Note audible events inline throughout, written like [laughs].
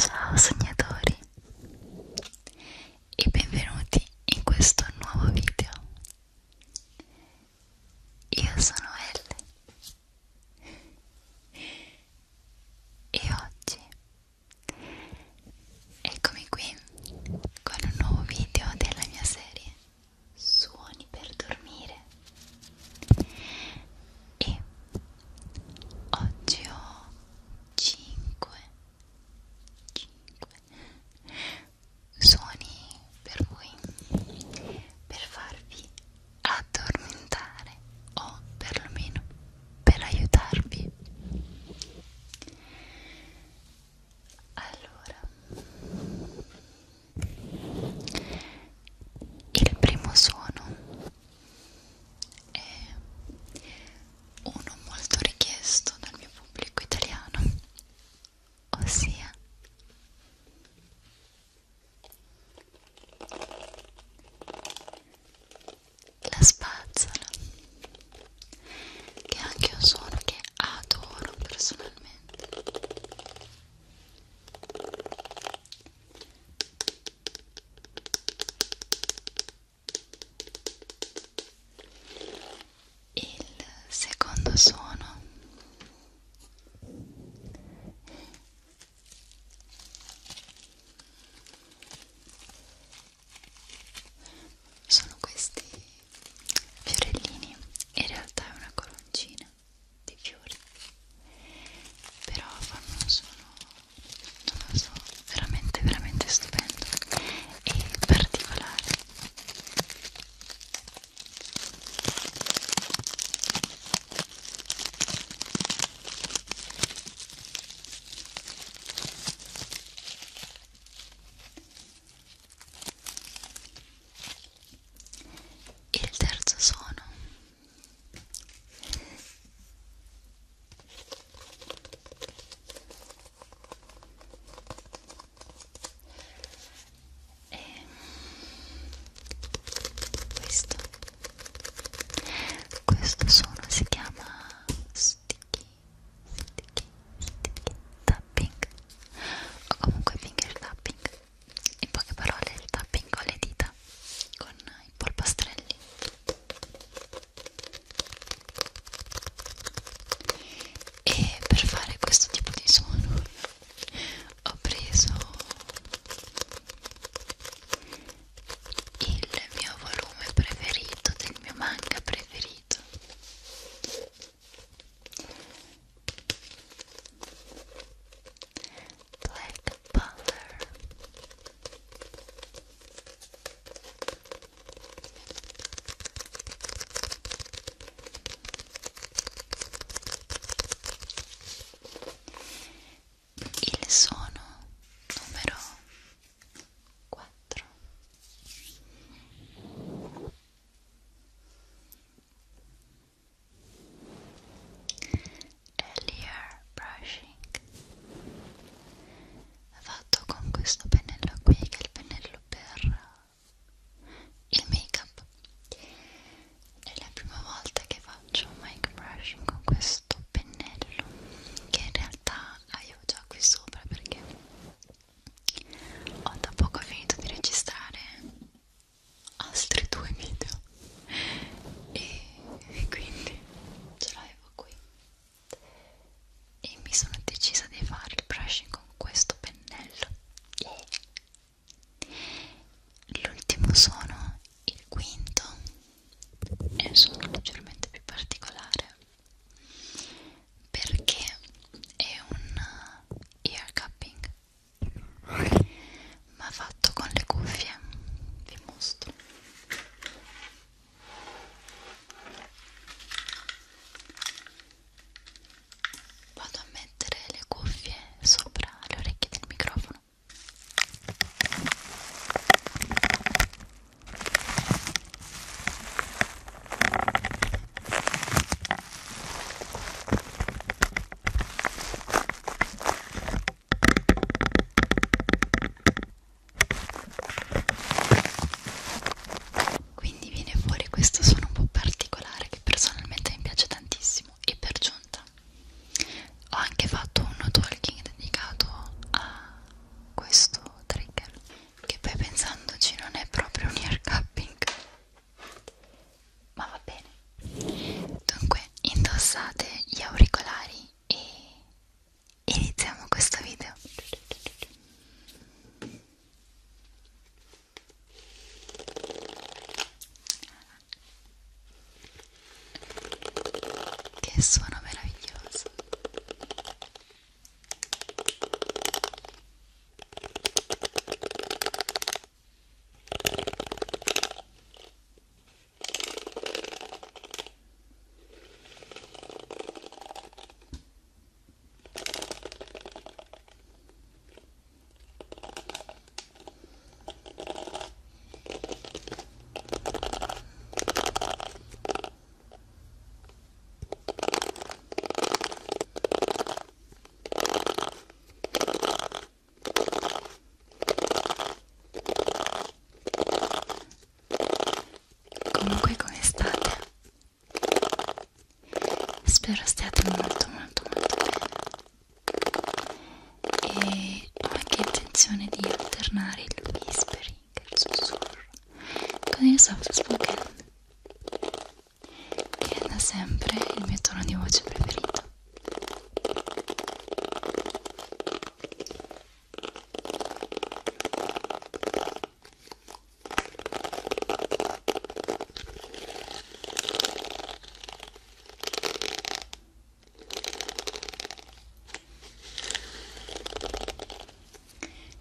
Ciao sognatori e benvenuti in questo nuovo video. Io sono Elle e oggi Eccomi qui con un nuovo video della mia serie Suoni per dormire e oggi ho 5 5 suoni per voi per farvi addormentare o perlomeno per aiutarvi allora il primo suono è uno molto richiesto dal mio pubblico italiano ossia la spazzola che è anche un suono che adoro personalmente il secondo suono sono questi fiorellini in realtà è una coroncina di fiori però fanno un suono non lo so veramente veramente stupendo e particolare il terzo suono è questo questo suono si chiama sticky sticky sticky tapping o comunque finger tapping in poche parole il tapping con le dita con i polpastrelli e per fare questo tipo di suono ho preso il mio volume preferito del mio manga preferito Black Butler il suono numero 4 Earlier brushing fatto con questo pennello qui che è il pennello per il make up è la prima volta che vado faccio un mic brushing con questo pennello che in realtà avevo già qui sopra perché ho da poco finito di registrare altri due video e, e quindi ce l'avevo qui e mi sono decisa di fare il brushing con questo pennello l'ultimo suono il quinto è un suono leggermente più particolare perché è un ear cupping ma fatto con le cuffie vi mostro vado a mettere le cuffie sopra le orecchie del microfono quindi viene fuori questo suono un po' particolare che personalmente mi piace tantissimo e per giunta ho anche fatto un talking dedicato a questo trigger che poi pensandoci non è proprio un ear cupping ma va bene dunque indossate gli auricolari e iniziamo questo video che suono meraviglioso. Comunque come state? Spero stiate molto molto molto bene e ho anche intenzione di alternare il whispering, il sussurro, con il soft spoken che è da sempre il mio tono di voce preferito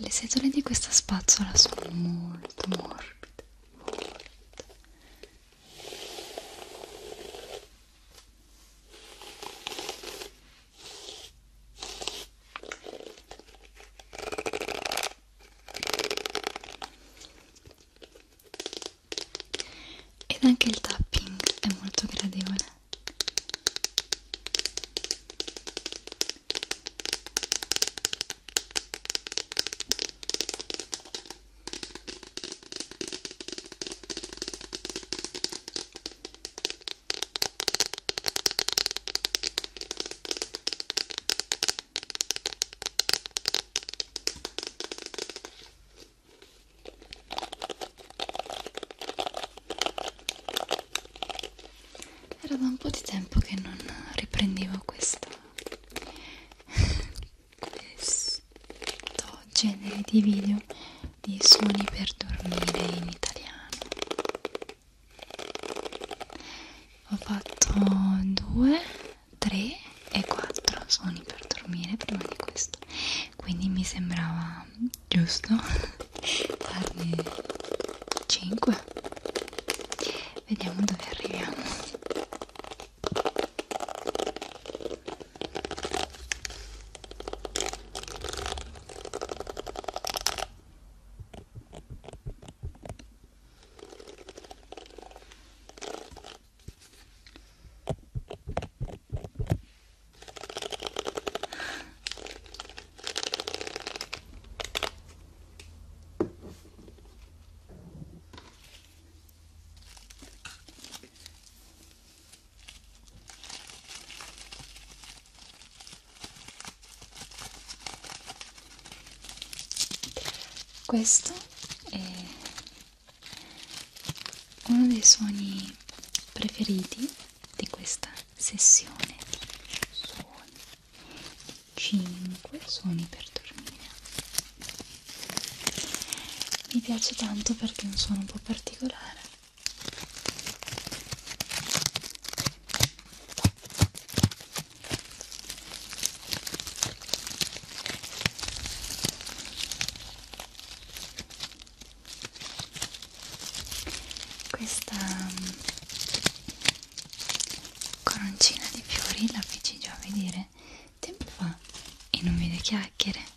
le setole di questa spazzola sono molto morbide, morbide ed anche il tapping è molto gradevole era da un po' di tempo che non riprendevo questo, questo genere di video di suoni per dormire in italiano. Ho fatto due 3 e 4 suoni per dormire prima di questo quindi mi sembrava giusto darne [laughs] 5 vediamo dove arriviamo questo è uno dei suoni preferiti di questa sessione di suoni 5 suoni per dormire mi piace tanto perché è un suono un po' particolare questa mm, coroncina di fiori la feci già vedere tempo fa e non vede chiacchiere.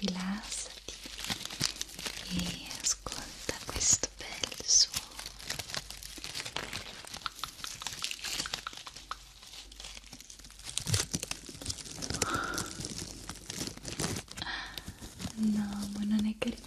rilassati e ascolta questo bel suono no ma non è carinissimo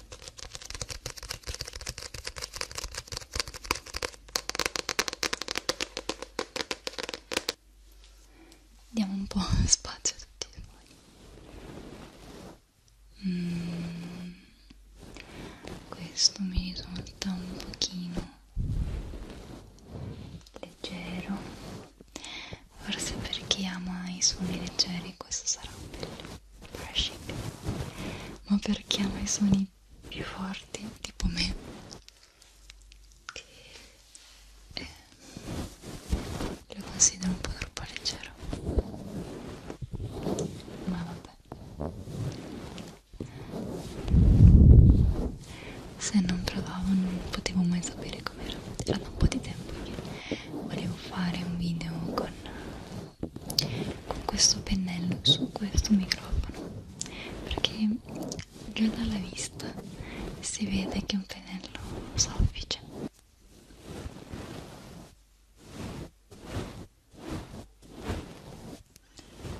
Diamo un po' [laughs] spazio a tutti i suoni. Mm, questo mi risulta un pochino leggero. Forse per chi ama i suoni leggeri questo sarà bello brushing ma perché ama i suoni più forti tipo me che eh, lo considero un po' troppo leggero ma vabbè se non provavo non potevo mai sapere com'era era da un po' di tempo che volevo fare un video con con questo pennello su questo microfono perché già dalla vista si vede che è un pennello soffice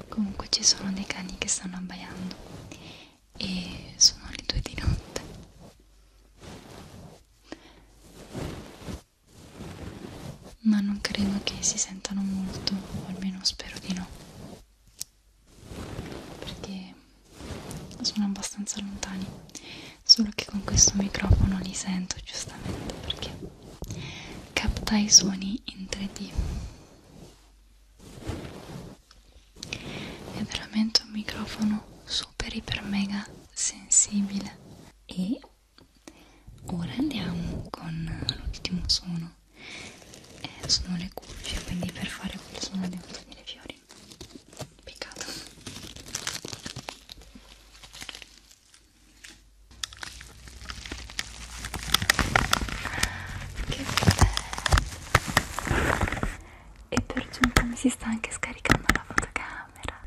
comunque ci sono dei cani che stanno abbaiando e sono le due di notte ma non credo che si sentano molto, o almeno spero di no, perché sono abbastanza lontani, solo che con questo microfono li sento giustamente perché capta i suoni in 3D. È veramente un microfono super iper mega sensibile e ora andiamo con l'ultimo suono eh, sono le cuffie quindi per fare quel suono devo togliere i fiori peccato che bello e per giunta mi si sta anche scaricando la fotocamera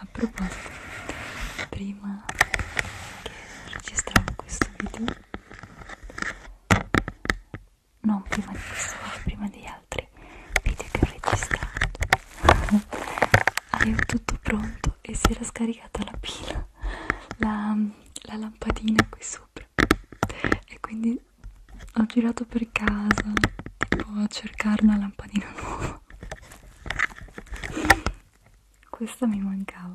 a proposito prima che registravo questo video non prima di questo ma prima degli altri video che ho registrato avevo [laughs] tutto pronto e si era scaricata la pila la, la lampadina qui sopra e quindi ho girato per casa tipo a cercare una lampadina [laughs] nuova questa mi mancava.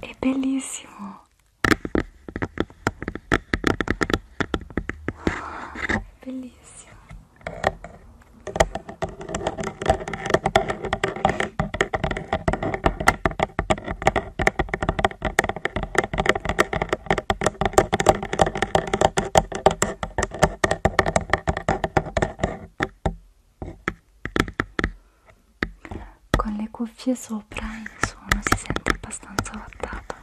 È bellissimo bellissimo con le cuffie sopra insomma si sente abbastanza vattato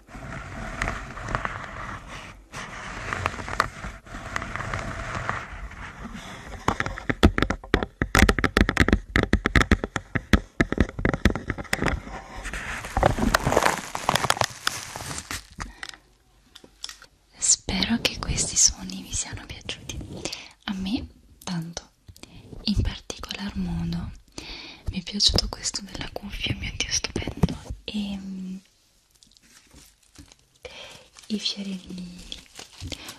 Spero che questi suoni vi siano piaciuti. A me tanto, in particolar modo mi è piaciuto questo della cuffia mio dio stupendo e um, i fiorellini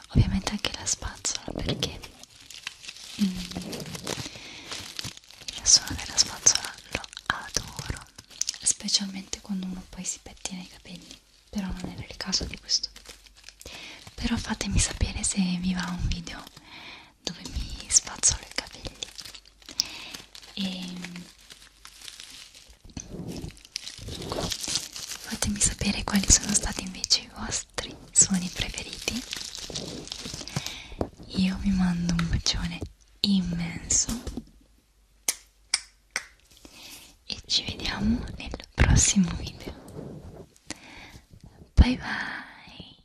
ovviamente anche la spazzola perché um, mm, il suono della spazzola lo adoro specialmente quando uno poi si pettina i capelli però non era il caso di questo video però fatemi sapere se vi va un video dove mi spazzolo i capelli e fatemi sapere quali sono stati invece i vostri suoni preferiti io vi mando un bacione immenso e ci vediamo nel prossimo video bye bye